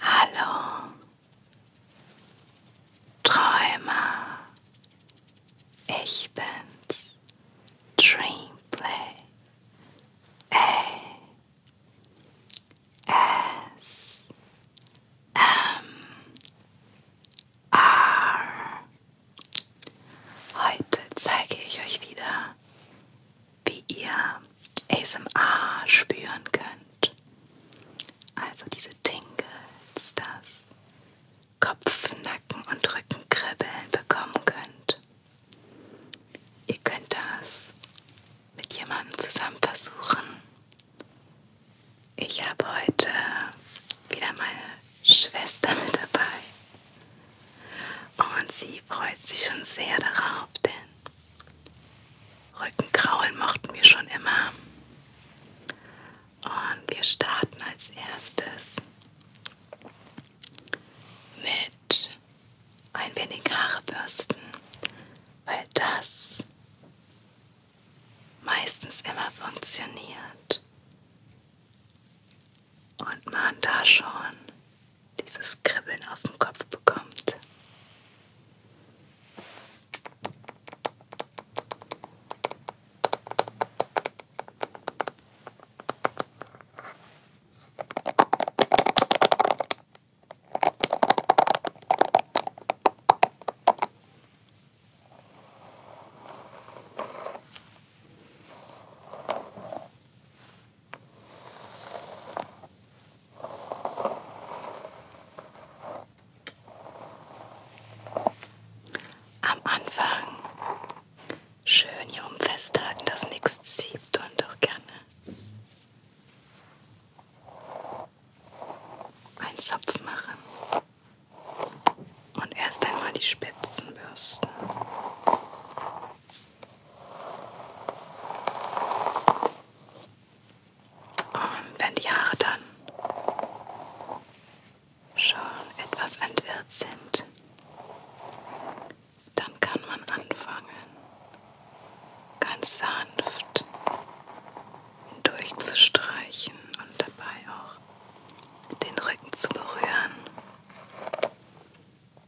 Hallo, Träumer, ich bin's, Dreamplay, A, S, M, R. Heute zeige ich euch wieder wie ihr ASMR spüren könnt. Also diese Tingles, das Kopf, Nacken und Rückenkribbeln bekommen könnt. Ihr könnt das mit jemandem zusammen versuchen. Ich habe heute wieder meine Schwester mit dabei. Und sie freut sich schon sehr darauf, denn Rückenkraulen mochten wir schon immer. Und wir starten als erstes mit ein wenig Haare bürsten, weil das meistens immer funktioniert und man da schon dieses Kribbeln auf dem Kopf bekommt. Am Anfang schön hier um festhalten, dass nichts zieht und auch gerne einen Zopf machen und erst einmal die Spitzen bürsten. Und wenn die Haare dann schon etwas entwirrt sind, dann kann man anfangen, ganz sanft durchzustreichen und dabei auch den Rücken zu berühren.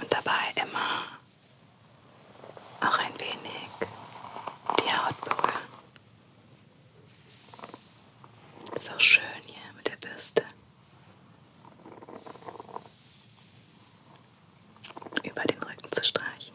Und dabei immer auch ein wenig die Haut berühren. Ist auch schön hier mit der Bürste. Über den Rücken zu streichen.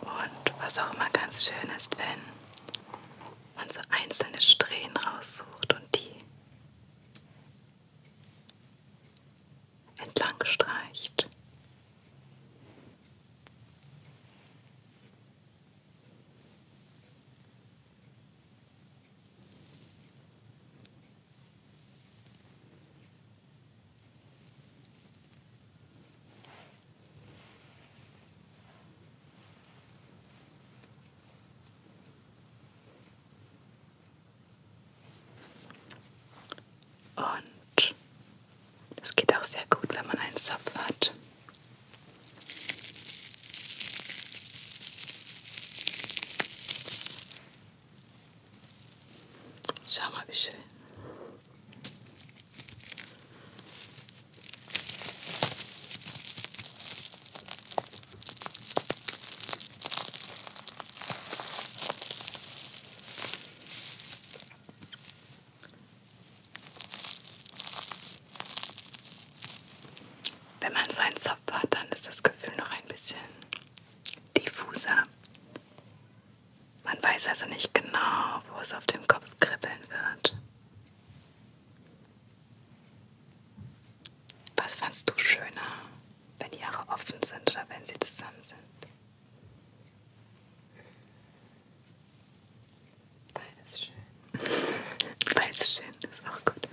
Und was auch immer ganz schön ist, wenn man so einzelne Strähnen raussucht und die entlang streicht. Und es geht auch sehr gut, wenn man einen Zopf hat. Schau mal, wie schön. Wenn man so einen Zopf hat, dann ist das Gefühl noch ein bisschen diffuser. Man weiß also nicht genau, wo es auf dem Kopf kribbeln wird. Was fandst du schöner, wenn die Haare offen sind oder wenn sie zusammen sind? Beides schön. Beides schön ist auch gut.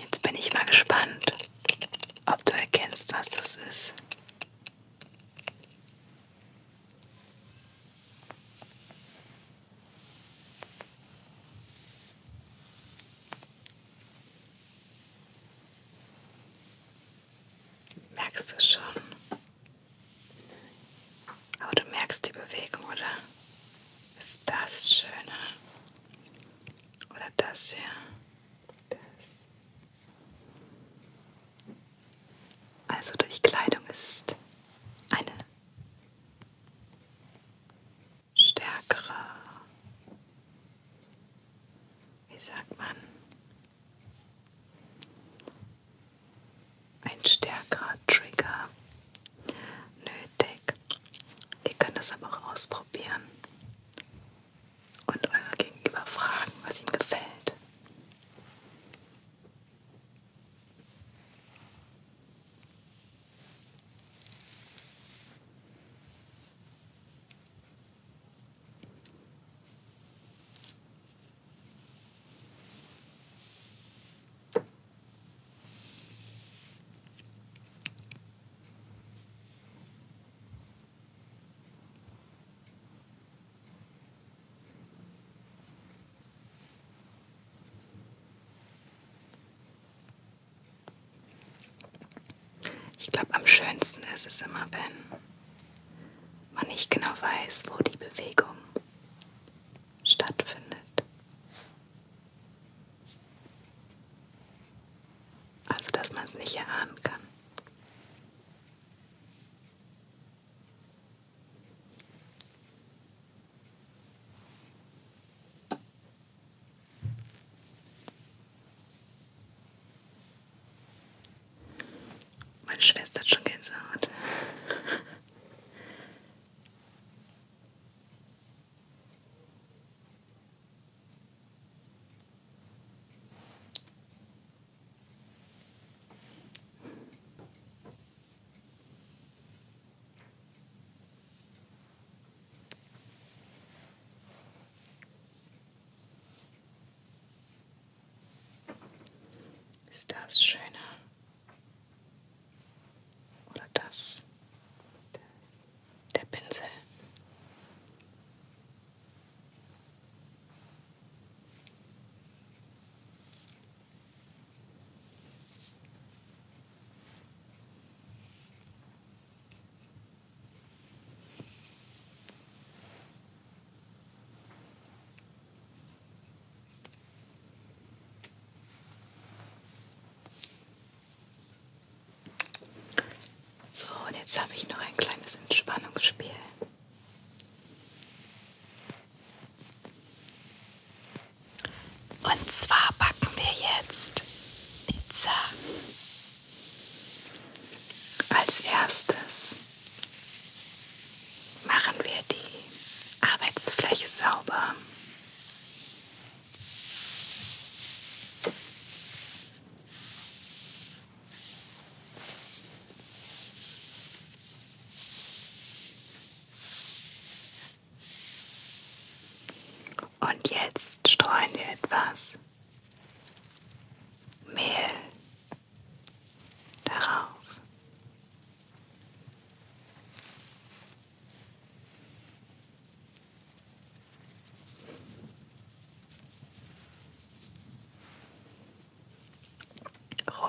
Jetzt bin ich mal gespannt, ob du erkennst, was das ist. Merkst du schon? Aber du merkst die Bewegung, oder? Ist das schöner? Oder das hier? Das. Also durch Kleidung ist eine stärkere, wie sagt man, ein stärkerer Trigger nötig. Ihr könnt das aber auch ausprobieren und euer Gegenüber fragen, was ihm gefällt. Ich glaube, am schönsten ist es immer, wenn man nicht genau weiß, wo die Bewegung stattfindet. Also dass man es nicht erahnen kann. Meine Schwester hat schon Gänsehaut. Ist das schöner? Oder das? Der Pinsel. So, und jetzt habe ich noch ein kleines Entspannungsspiel. Und zwar backen wir jetzt Pizza. Als erstes machen wir die Arbeitsfläche sauber. Und jetzt streuen wir etwas Mehl darauf.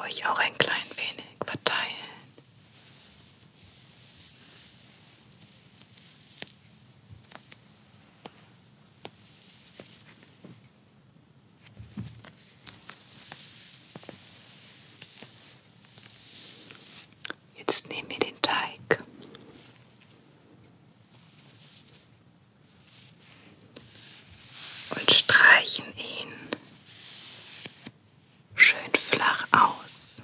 Ruhig auch ein klein wenig verteilen. Jetzt nehmen wir den Teig und streichen ihn schön flach aus.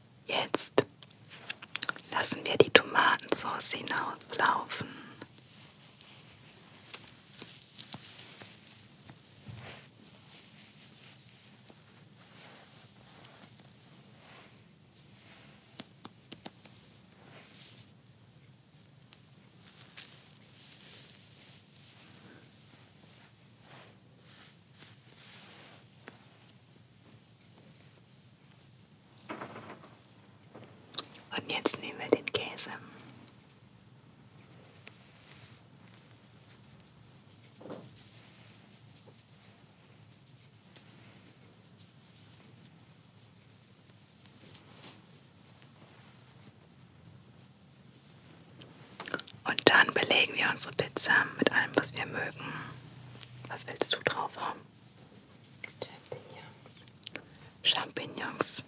Jetzt lassen wir die Tomatensauce hinauflaufen. Und jetzt nehmen wir den Käse. Und dann belegen wir unsere Pizza mit allem, was wir mögen. Was willst du drauf haben? Champignons. Champignons.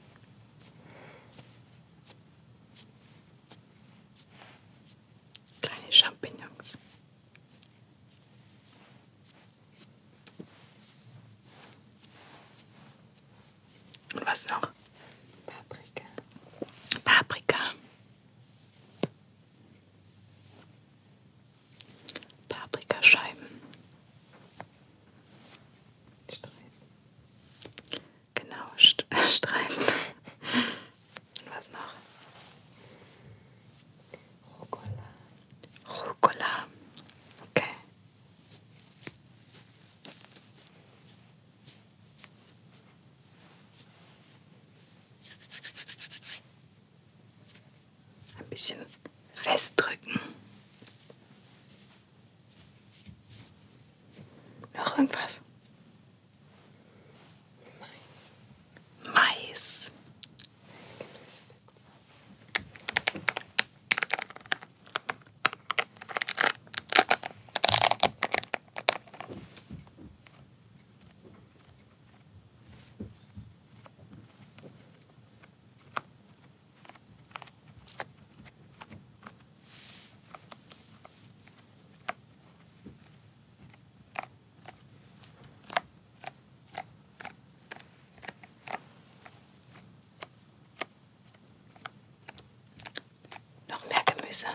Kleine Champignons. Und was noch? Paprika. Paprika. Paprikascheiben. Streifen. Genau, st Streifen. Und was noch? Rucola. Rucola. Okay. Ein bisschen festdrücken. Noch irgendwas? Mais. Mais. Noch mehr Gemüse.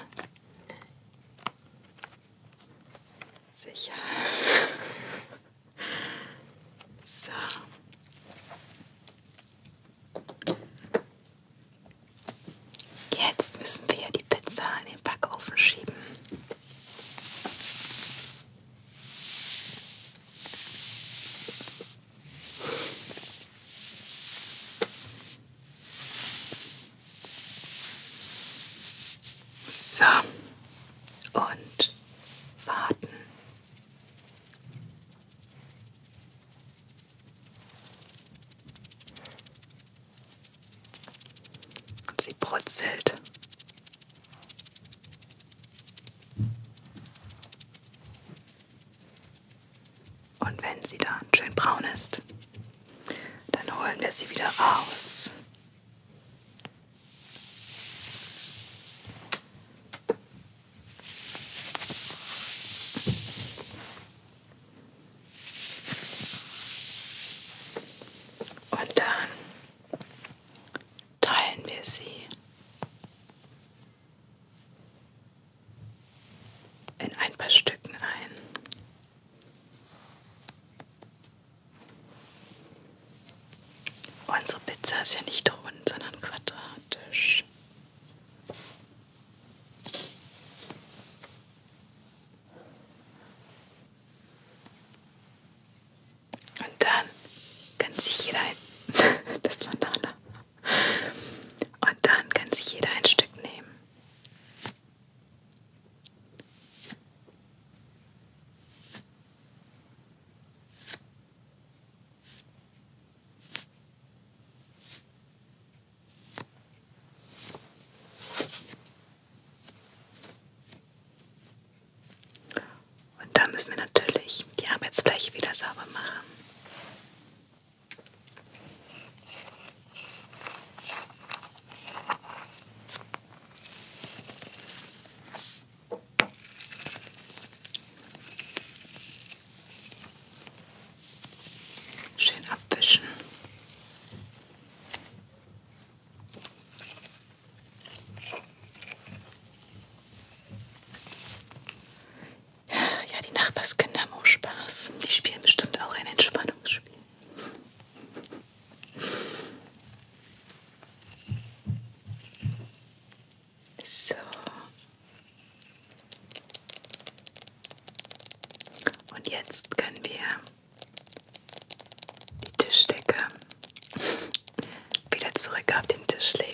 Sicher. So. Jetzt müssen wir die Pizza in den Backofen schieben. So. Und warten. Und sie brutzelt. Und wenn sie dann schön braun ist, dann holen wir sie wieder raus. Und dann teilen wir sie in ein paar Stücken ein. Unsere Pizza ist ja nicht rund, sondern quadratisch. Und dann kann sich jeder ein das Banane. Und dann kann sich jeder ein Stück nehmen. Und da müssen wir natürlich die Arbeitsfläche wieder sauber machen. Schön abwischen. Ja, die Nachbarskinder haben auch Spaß. Die spielen bestimmt auch ein Entspannungsspiel. So. Und jetzt können wir die Tischdecke wieder zurück auf den Tisch legen.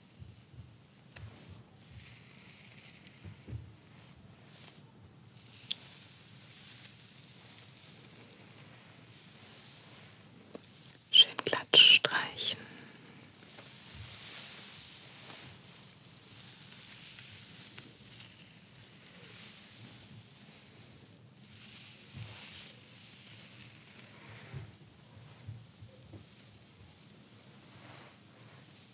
Schön glatt streichen.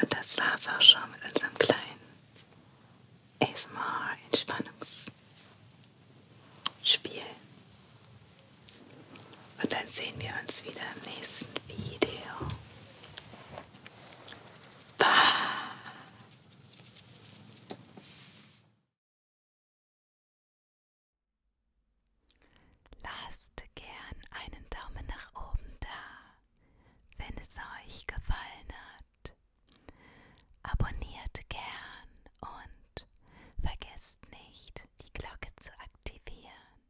Und das war's auch schon mit unserem kleinen ASMR-Entspannungsspiel. Und dann sehen wir uns wieder im nächsten Video. Bye! Lasst gern einen Daumen nach oben da, wenn es euch gefallen hat. Abonniert gern und vergesst nicht, die Glocke zu aktivieren.